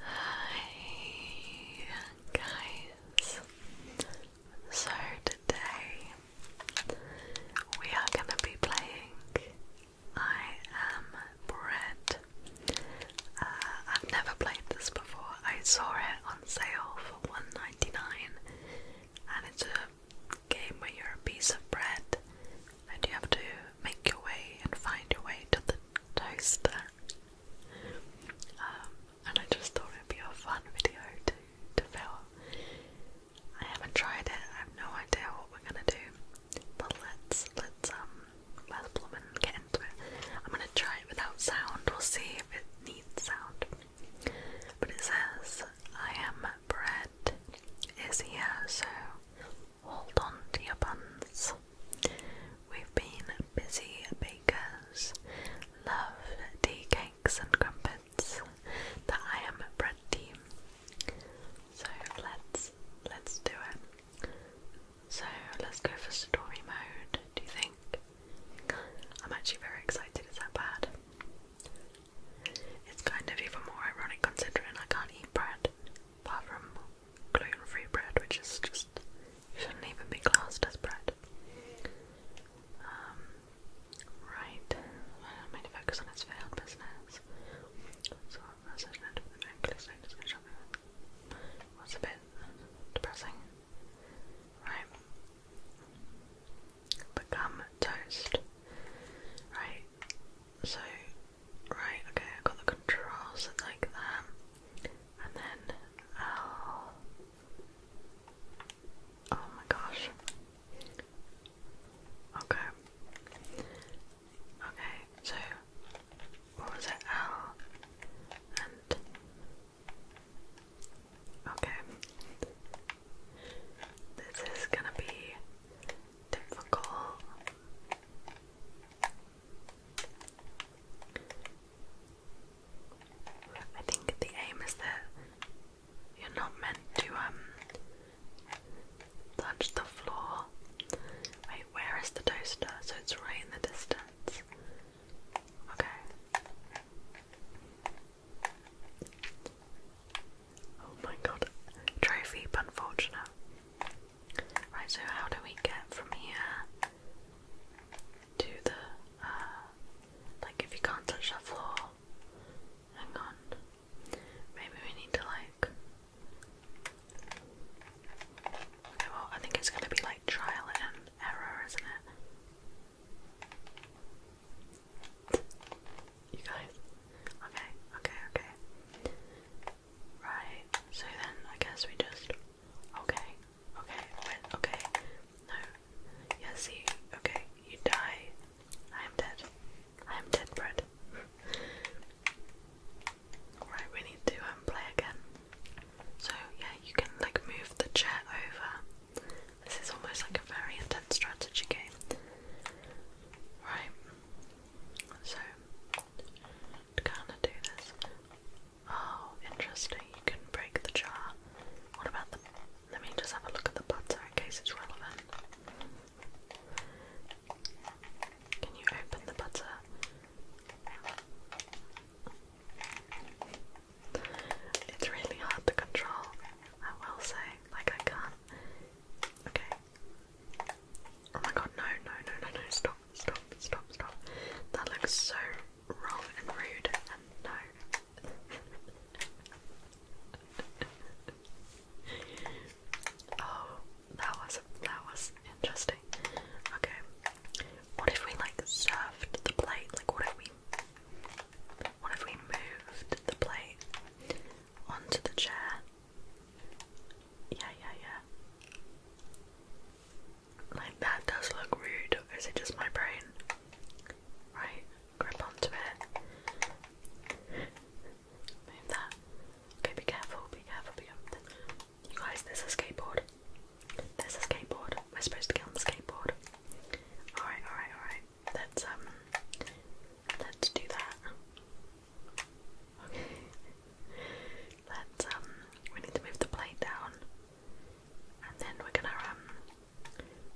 Hi guys. So today we are going to be playing I Am Bread. Uh, I've never played this before. I saw it on sale for $1.99 and it's a game where you're a piece of bread and you have to make your way and find your way to the toaster. Um, and I just thought it'd be a fun video to, to film. I haven't tried it, I have no idea what we're gonna do. But let's let's um, let's plumb and get into it. I'm gonna try it without sound, we'll see if it needs sound. But it says I am bread is here, so hold on to your buns. We've been busy bakers, love tea cakes and crumpets, the I am a bread team. So let's let's do it. So let's go for story mode, do you think? I'm actually very excited, is that bad? It's kind of even more ironic considering I can't eat bread apart from gluten-free bread, which is just shouldn't even be classed as bread. Um, right, well, I'm going to focus on its failed business. So, as I said, the necklace I'm just going to show you. What's a bit depressing, right? Become toast, right? So, Right, okay, i got the controls like that. And then i oh, oh my gosh. Okay. Okay, so what was it? L and Okay. This is gonna be difficult. I think the aim is that you're not meant to um, touch the floor. Wait, where is the toaster? So it's right in the distance. Okay. Oh my god. Trophy, but unfortunate. Right, so how do we get from here to the, uh, like if you can't touch that floor, hang on, maybe we need to like, okay, well I think it's going to be like trial and error, isn't it? You guys, okay, okay, okay. Right, so then I guess we just. Okay, okay, wait, okay. No. Yeah, see, okay, you die. I am dead. I am dead, Brett. right, we need to um, play again. So, yeah, you can like move the chair over. This is almost like a very intense strategy game. Right, so kind of do this. Oh, interesting. You can break the jar. What about the. Let me just have a look at the butter in case it's relevant. Can you open the butter? It's really hard to control, I will say. Like, I can't Okay. Oh my god, no, no, no, no, stop, stop, stop, stop. That looks so wrong and rude, no. oh, that was, that was interesting. Okay. What if we, like, served the plate? Like, what if we, what if we moved the plate onto the chair. Yeah, yeah, yeah. Like that does look rude, or is it just my brain? Right, grip onto it. Move that. Okay, be careful, be careful, be careful. You guys, there's a skateboard. There's a skateboard. We're supposed to get on the skateboard. Alright, alright, alright. let um Let's do that. Okay. Let's um, we need to move the plate down and then we're gonna um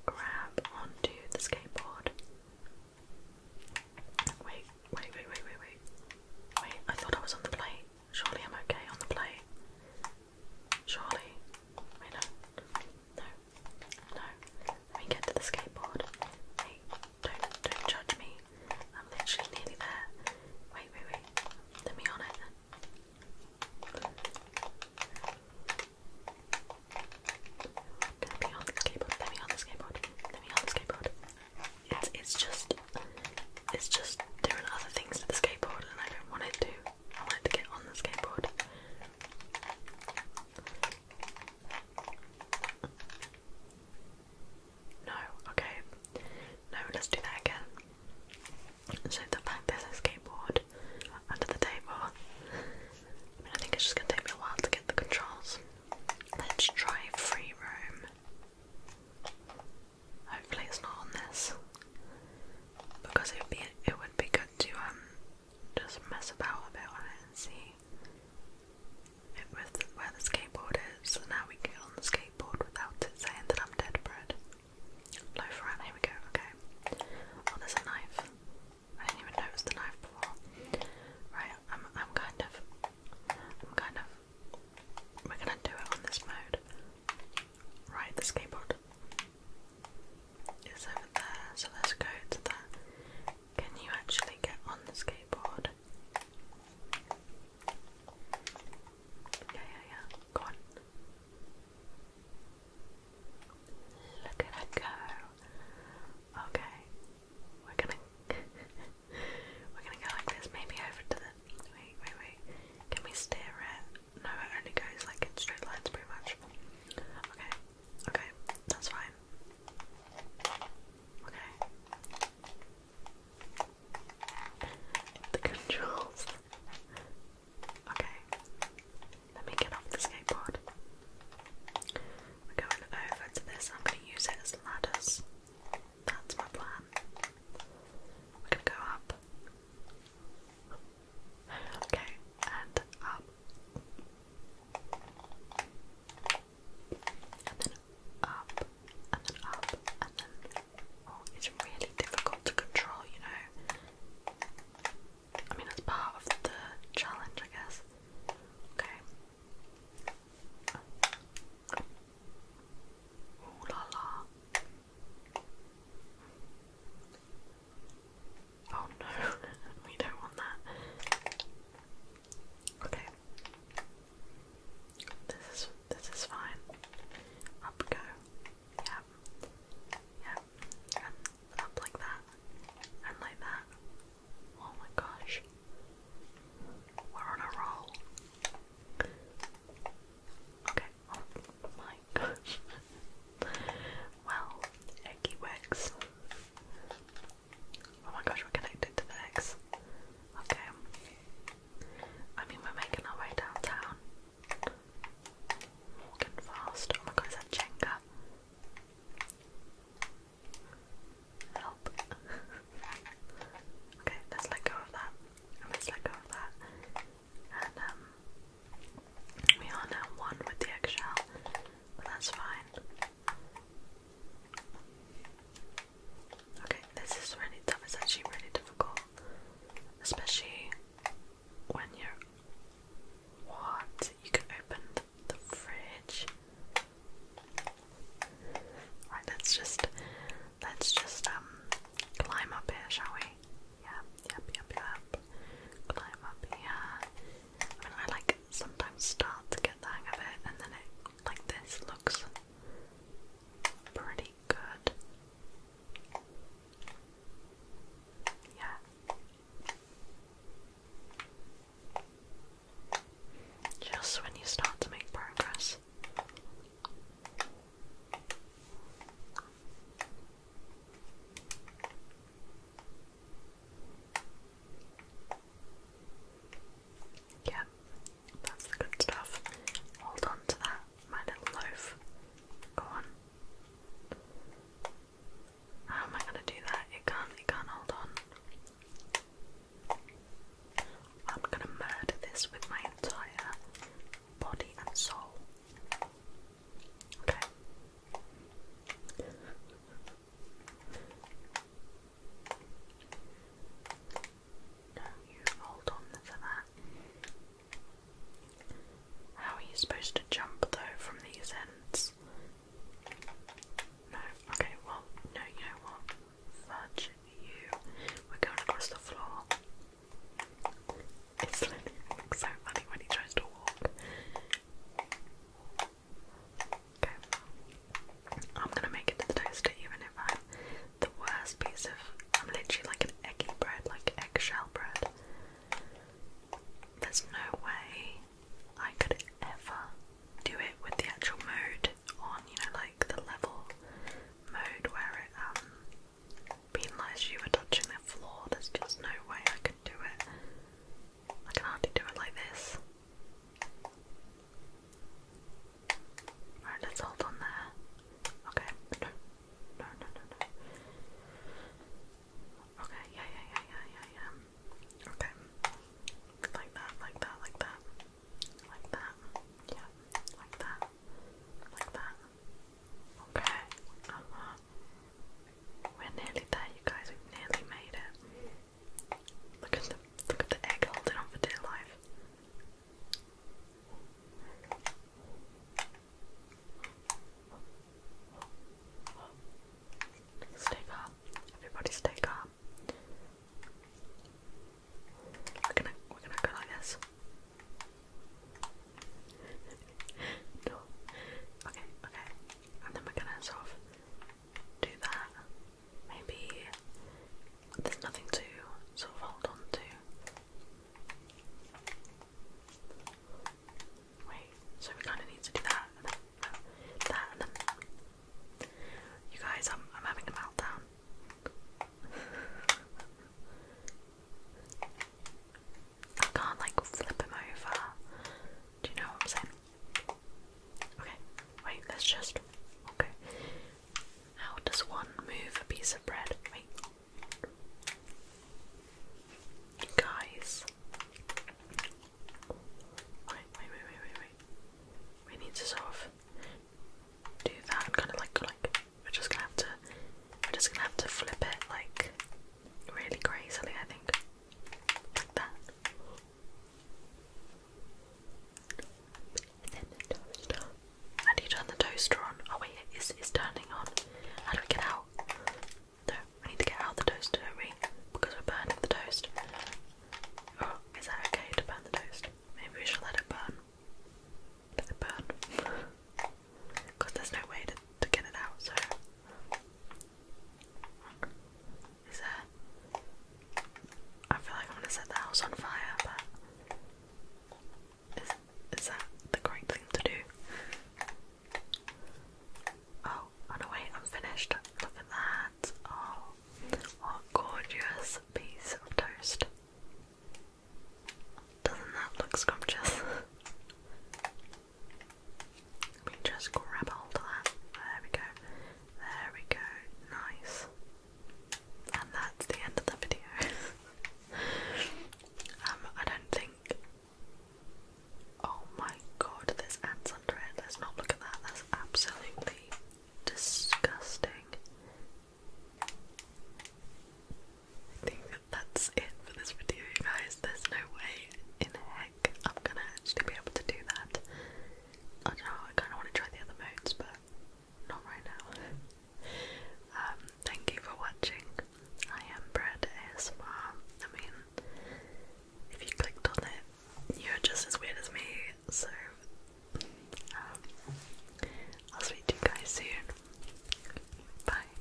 grab onto the skateboard. Wait, wait, wait, wait, wait, wait. Wait, I thought I was on the plate. Surely I'm okay on the plate. Surely. Wait, no. No. No. Let me get to the skateboard. Hey, don't don't judge me. I'm literally nearly there. Wait, wait, wait. Let me on it. Let me on the skateboard. Let me on the skateboard. Let me on the skateboard. It's it's just it's just doing other things to the skateboard, and I don't want it to. I want it to get on the skateboard. No, okay. No, let's do that again. So the fact there's a skateboard under the table. I think it's just gonna take me a while to get the controls. Let's try free roam. Hopefully it's not on this. Because it would be it would be good to um just mess about a bit and see it was where the skateboard is, now we get on the skateboard without it saying that I'm dead bread. Low rat, here we go, okay. Oh, there's a knife. I didn't even notice the knife before. Right, I'm, I'm kind of, I'm kind of, we're gonna do it on this mode. Right, the skateboard is over there, so let's go to that. Can you actually get on the skateboard? Yeah, yeah, yeah. Go on. Look at go. Okay, we're gonna we're gonna go like this. Maybe over to the wait, wait, wait. Can we steer it? No, it only goes like in straight lines, pretty much. Okay, okay, that's fine. Okay. The controls. Okay. Let me get off the skateboard. We're going over to this. I'm going to use it as ladders. That's my plan. We're going to go up. Okay, and up and then up, and then up, and then. Oh, it's really difficult to control, you know. I mean, it's part of the challenge, I guess. Okay. Ooh la la. Oh no, we don't want that. Okay. This is this is fine. Up go. Yep. Yep. up like that. And like that. Oh my gosh. We're on a roll. Okay. Oh my gosh. well, eggy works. Oh my gosh, we're connected to the X. Okay. I mean, we're making our way downtown. Walking fast. Oh my god, is that Jenga? Help. okay, let's let go of that. let's let go of that. And, um, we are now one with the eggshell. That's fine. Okay, this is really tough. It's actually really difficult. Especially when you're. What? You can open the, fridge? Right, let's just. Let's just, um, climb up here, shall we? Yep, yep, yep, yep. Climb up here. I like sometimes start to get the hang of it, and then it like this looks pretty good. Yeah. Just when you start to make progress. Yeah, that's the good stuff. Hold on to that, my little loaf. Go on. How am I gonna do that? It can't it can't hold on. I'm gonna murder this with my entire body and soul. Okay. No, you hold on for that. How are you supposed to jump though from these ends? No, okay, well, no, you know what? Fudge you. We're going across the floor. It's so funny when he tries to walk. Okay. I'm gonna make it to the toaster even if I'm the worst piece of I'm literally like an eggy bread, like eggshell bread. There's no way I could ever do it with the actual mode on, you know, like the level mode where it um you were touching the floor. There's just no way I could do it. I can hardly do it like this. Alright, let's hold on there. Okay, no, no, no, no, no. Okay, yeah, yeah, yeah, yeah, yeah, yeah. Okay, like that, like that, like that, like that, yeah, like that, like that. Okay, uh -huh. We're nearly there, you guys. We've nearly made it. Look at the look at the egg holding on for dear life. Stay calm. Everybody stay calm. We're gonna we're gonna go like this. no. Okay, okay and then we're gonna sort of do that. Maybe there's nothing to sort of hold on to. Wait, so we kind of need to do that and then that and then. You guys, I'm I'm having a meltdown. I can't like flip him over. Do you know what I'm saying? Okay, wait, that's just. Okay. How does one move a piece of bread? Wait. Guys. Wait, wait, wait, wait, wait, wait. We need to sort of do that kind of like like we're just gonna have to we're just gonna have to flip it like really crazily I think. Like you turn the toaster on? Oh wait, it's, it's turning on. How do we get out? No, we need to get out the toaster, do Because we're burning the toast. Oh, is that okay to burn the toast? Maybe we should let it burn. Let it burn. Because there's no way to, to get it out, so is that? I feel like i want to set the house on fire, but is is that the correct thing to do? Oh, oh no wait, I'm finished. Look at that. Oh, what gorgeous piece of toast. Doesn't that look scrumptious? Let me just grab hold of that. There we go. There we go. Nice. And that's the end of the video. um, I don't think. Oh my god, there's ants under it. Let's not look at that. That's absolutely disgusting. I think that's it for this video, guys. There's no way in I'm gonna actually be able to do that. I know, I kind of want to try the other modes, but not right now. Um, thank you for watching. I am Bread ASMR. I mean, if you clicked on it, you're just as weird as me, so um, I'll speak to you guys soon. Bye.